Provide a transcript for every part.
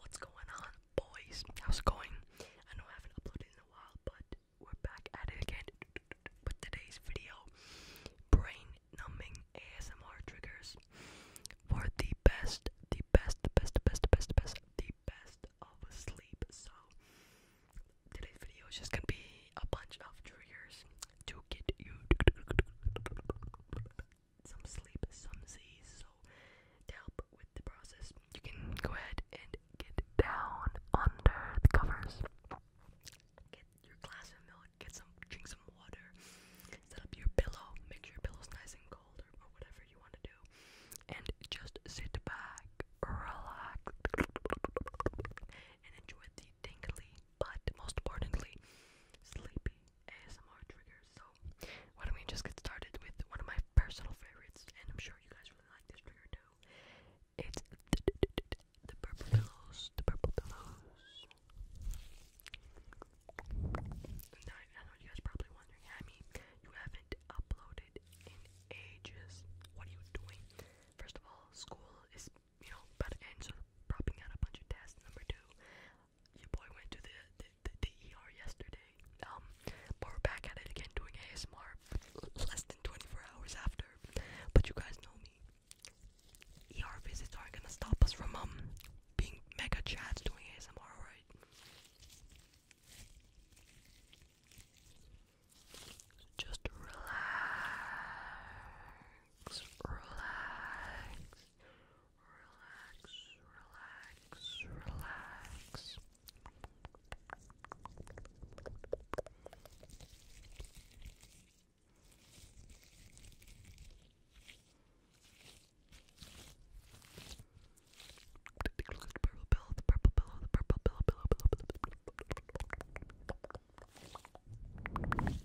What's going on, boys? How's it going? I know I haven't uploaded in a while, but we're back at it again with today's video brain numbing ASMR triggers for the best, the best, the best, the best, the best, the best of sleep. So, today's video is just gonna be a bunch of triggers to get you some sleep, some Z's. So to help with the process, you can go ahead and get down under the covers. Get your glass of milk, get some, drink some water, set up your pillow, make sure your pillow's nice and cold or, whatever you want to do, and just sit back, relax, and enjoy the tingly, but most importantly, sleepy ASMR triggers. So why don't we just get started with one of my personal favorites, and I'm sure you guys really like this trigger too. It's the, the purple pillows. The purple pillows. Now, I know you guys probably wondering, Hammy, you haven't uploaded in ages. What are you doing? First of all, school is you know about to end, out a bunch of tests. Number two, your boy went to the the, the, ER yesterday. Um, but we're back at it again doing ASMR less than 24 hours after. But you guys know me. ER visits aren't gonna stop us from um being mega chats doing ASMR, right? Just relax, relax, Relax, relax, relax. Take a look at the purple pillow, the purple pillow, the purple pillow, pillow, pillow, pillow, pillow, pillow, pillow.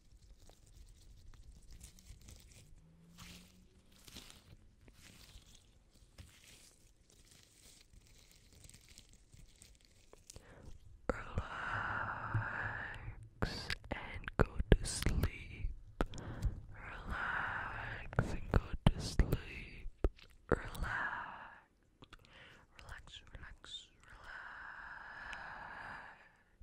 Relax and go to sleep. Relax and go to sleep. Relax. Relax, relax, relax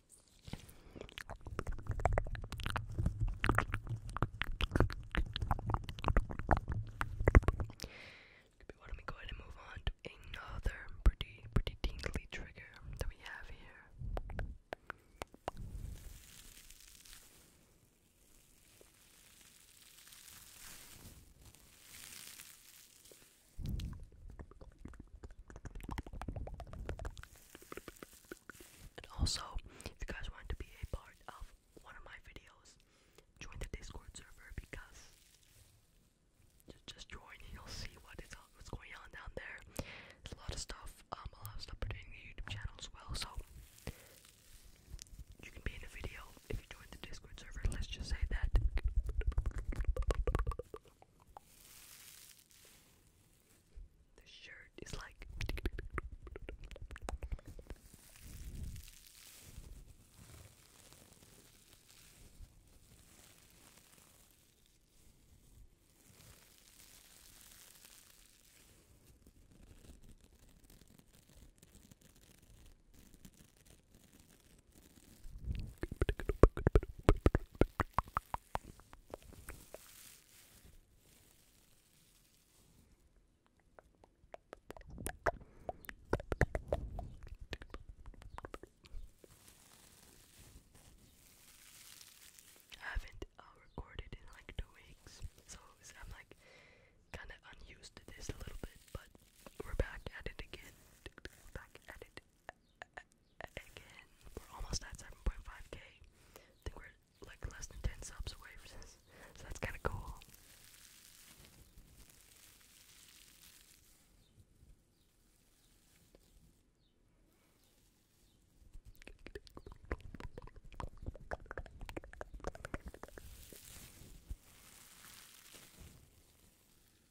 Why don't we go ahead and move on to another pretty, pretty tingly trigger that we have here? And also, if you guys want to be a part of one of my videos, join the Discord server because just join and you'll see what is what's going on down there. There's a lot of stuff, um, a lot of stuff pertaining to the YouTube channel as well, so you can be in a video if you join the Discord server. Let's just say that. The shirt is like. I haven't uh, recorded in like two weeks, so I'm like kind of unused to this a little bit, but we're back at it again. Back at it again, we're almost at 7.5k. I think we're like less than 10 subs away from this, so that's kind of cool.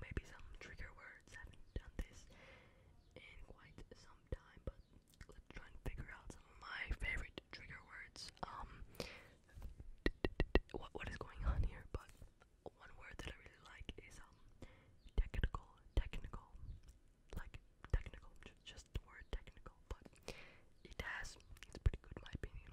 maybe some trigger words. haven't done this in quite some time, but let's try and figure out some of my favorite trigger words. Um, what what is going on here? But one word that I really like is um technical, technical, like technical, just the word technical, but it has it's pretty good in my opinion.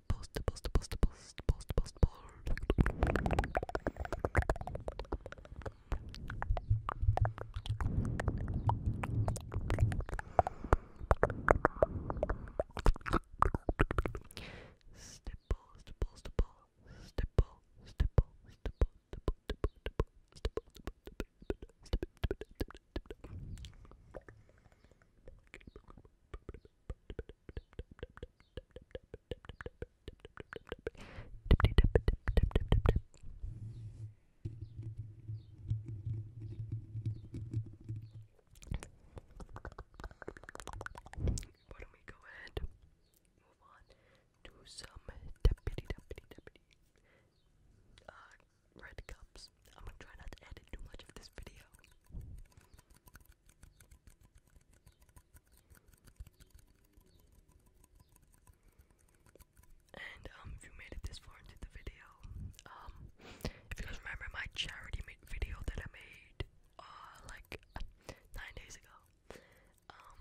post, post, post, post, post, post, post, Stipple, why don't we go ahead and move on to some deputy deputy deputy uh red cups. I'm gonna try not to edit too much of this video. And um, if you made it this far into the video, um, if you guys remember my charity video that I made, uh, like nine days ago, um,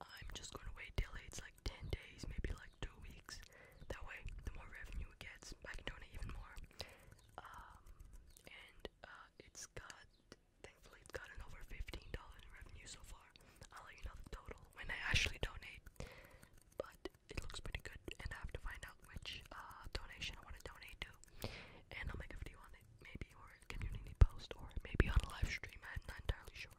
I'm just gonna wait till it's like ten days, maybe like two weeks. That way, the more revenue it gets, I can donate even more. Um, and uh, it's got thankfully it's gotten over $15 in revenue so far. I'll let you know the total when I actually donate. But it looks pretty good and I have to find out which uh donation I want to donate to. And I'll make a video on it, maybe or a community post or maybe on a live stream, I'm not entirely sure.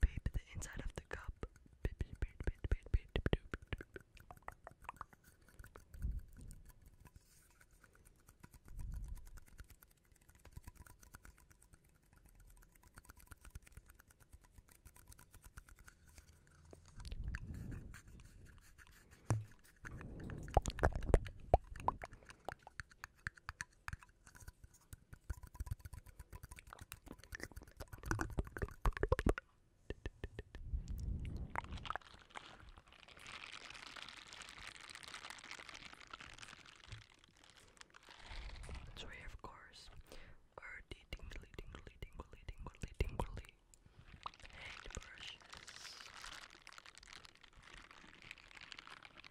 Babe, the inside of the cup. Sorry, of course. Or the tingly, tingly, tingly, tingly, tingly hand brushes.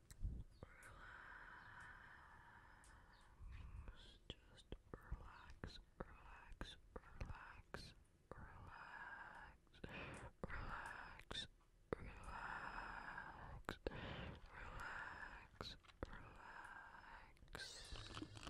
Relax. Just relax, relax, relax, relax, relax, relax, relax, relax.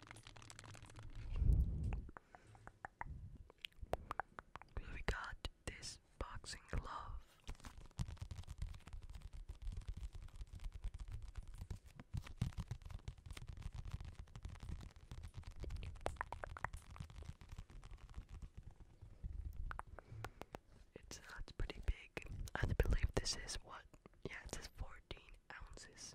We got this boxing glove. It's not uh, pretty big. I believe this is what? Yeah, it 14 ounces.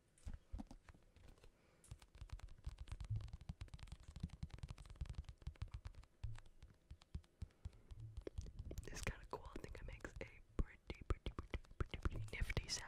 It's kind of cool. I think it makes a pretty, pretty, pretty, pretty, pretty nifty sound.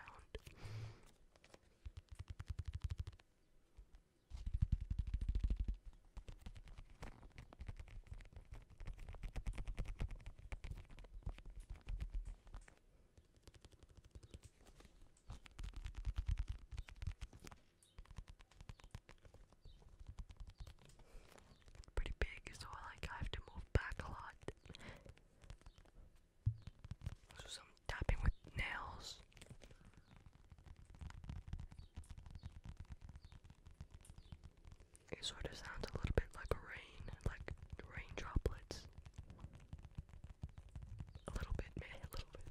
Pretty big, so like I have to move back a lot. So some tapping with nails. It sort of sounds a little bit like rain, like rain droplets. A little bit, man, a little bit.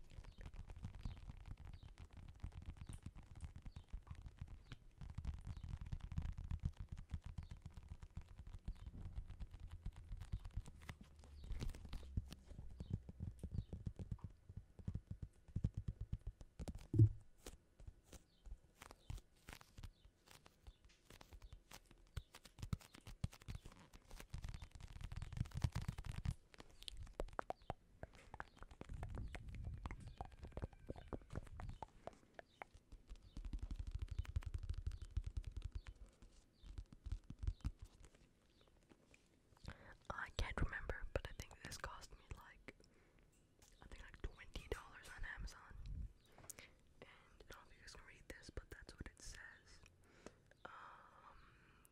I can't remember, but I think this cost me like I think like twenty dollars on Amazon. And I don't know if you guys can read this, but that's what it says. Um,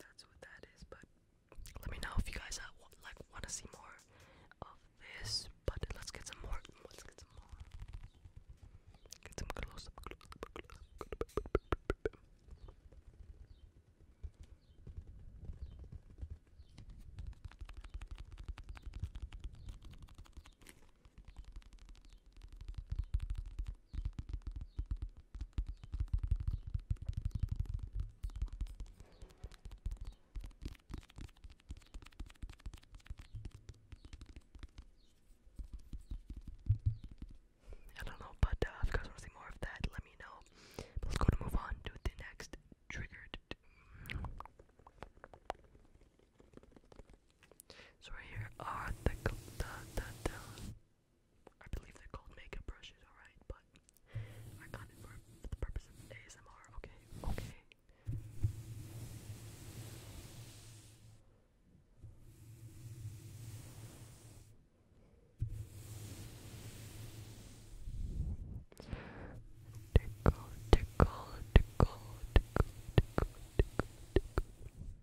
that's what that is. But let me know if you guys like want to see more of this. But let's get some more. Let's get some more. Get some close up. Close up, close up. I don't know, but uh, if you guys want to see more of that, let me know. let's go to move on to the next triggered. So right here are the the the, I believe they're called makeup brushes, alright, but I got it for, the purpose of ASMR, okay, okay. Tickle, tickle, tickle, tickle, tickle, tickle,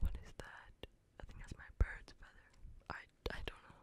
What is that? I think that's my bird's feather. I, I don't know.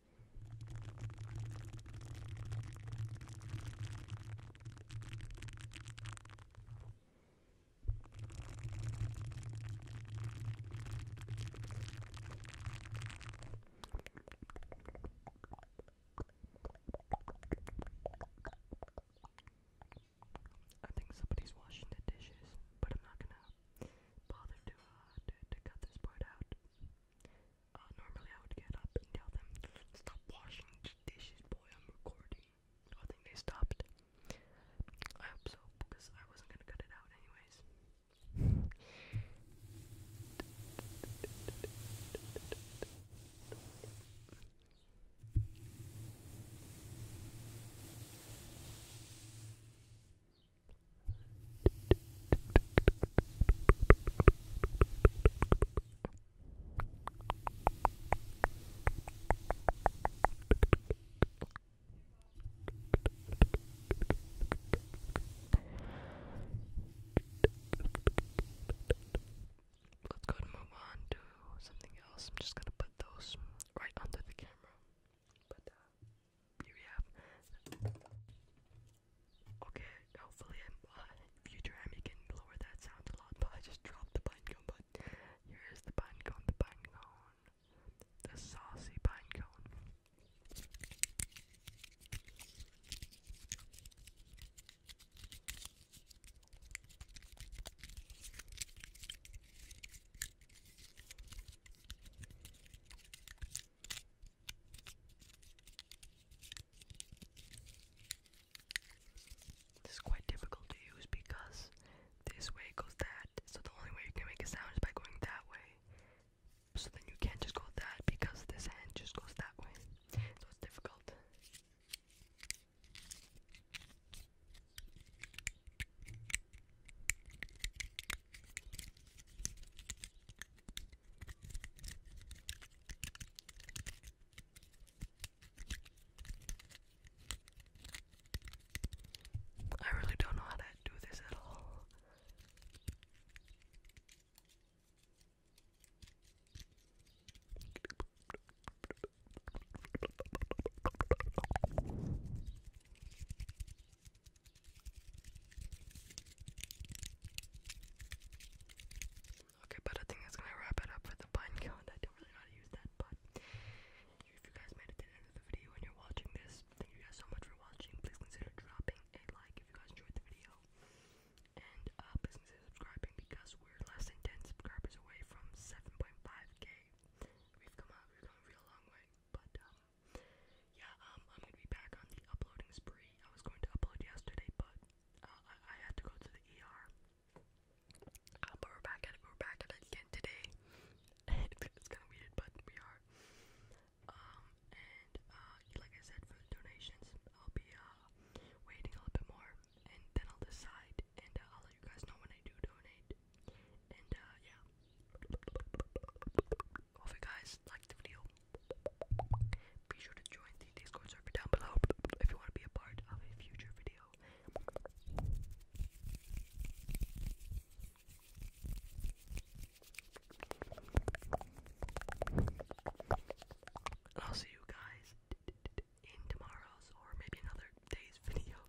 I think somebody's washing the dishes, but I'm not gonna bother to uh, cut this part out. Uh, normally I would get up and tell them, stop washing dishes, boy, I'm recording. I think they stopped. I hope so, because I wasn't gonna cut it out anyways. Let's go and move on to something else. I'm just gonna put those right under the camera. But uh here we have. Okay, hopefully in uh, future Emmy can lower that sound a lot, but I just dropped the pine But here is the pine the pine the saucy pine cone. This is quite difficult to use because this way goes that, so the only way you can make a sound is by going that way. So then you can't just go that because this hand just goes that way. So it's difficult. I really don't know how to do this at all. Okay, but I think that's gonna wrap it up for the pine cone. I don't really know how to use that, but if you guys made it to the end of the video and you're watching this, thank you guys so much for watching. Please consider dropping a like if you guys enjoyed the video. And uh, please consider subscribing because we're less than 10 subscribers away from 7.5k. We've come we've gone a real long way, but um, yeah, um, I'm gonna be back on the uploading spree. I was going to upload yesterday, but uh, I, I had to go to the ER. Uh, but we're back at it. We're back at it again today. it's kind of weird, but we are. Um, and uh, like I said, for the donations, I'll be uh waiting a little bit more, and then I'll decide, and uh, I'll let you guys know when I do donate. And uh, yeah. Hope guys liked the video. Be sure to join the Discord server down below if you want to be a part of a future video. I'll see you guys in tomorrow's or maybe another day's video.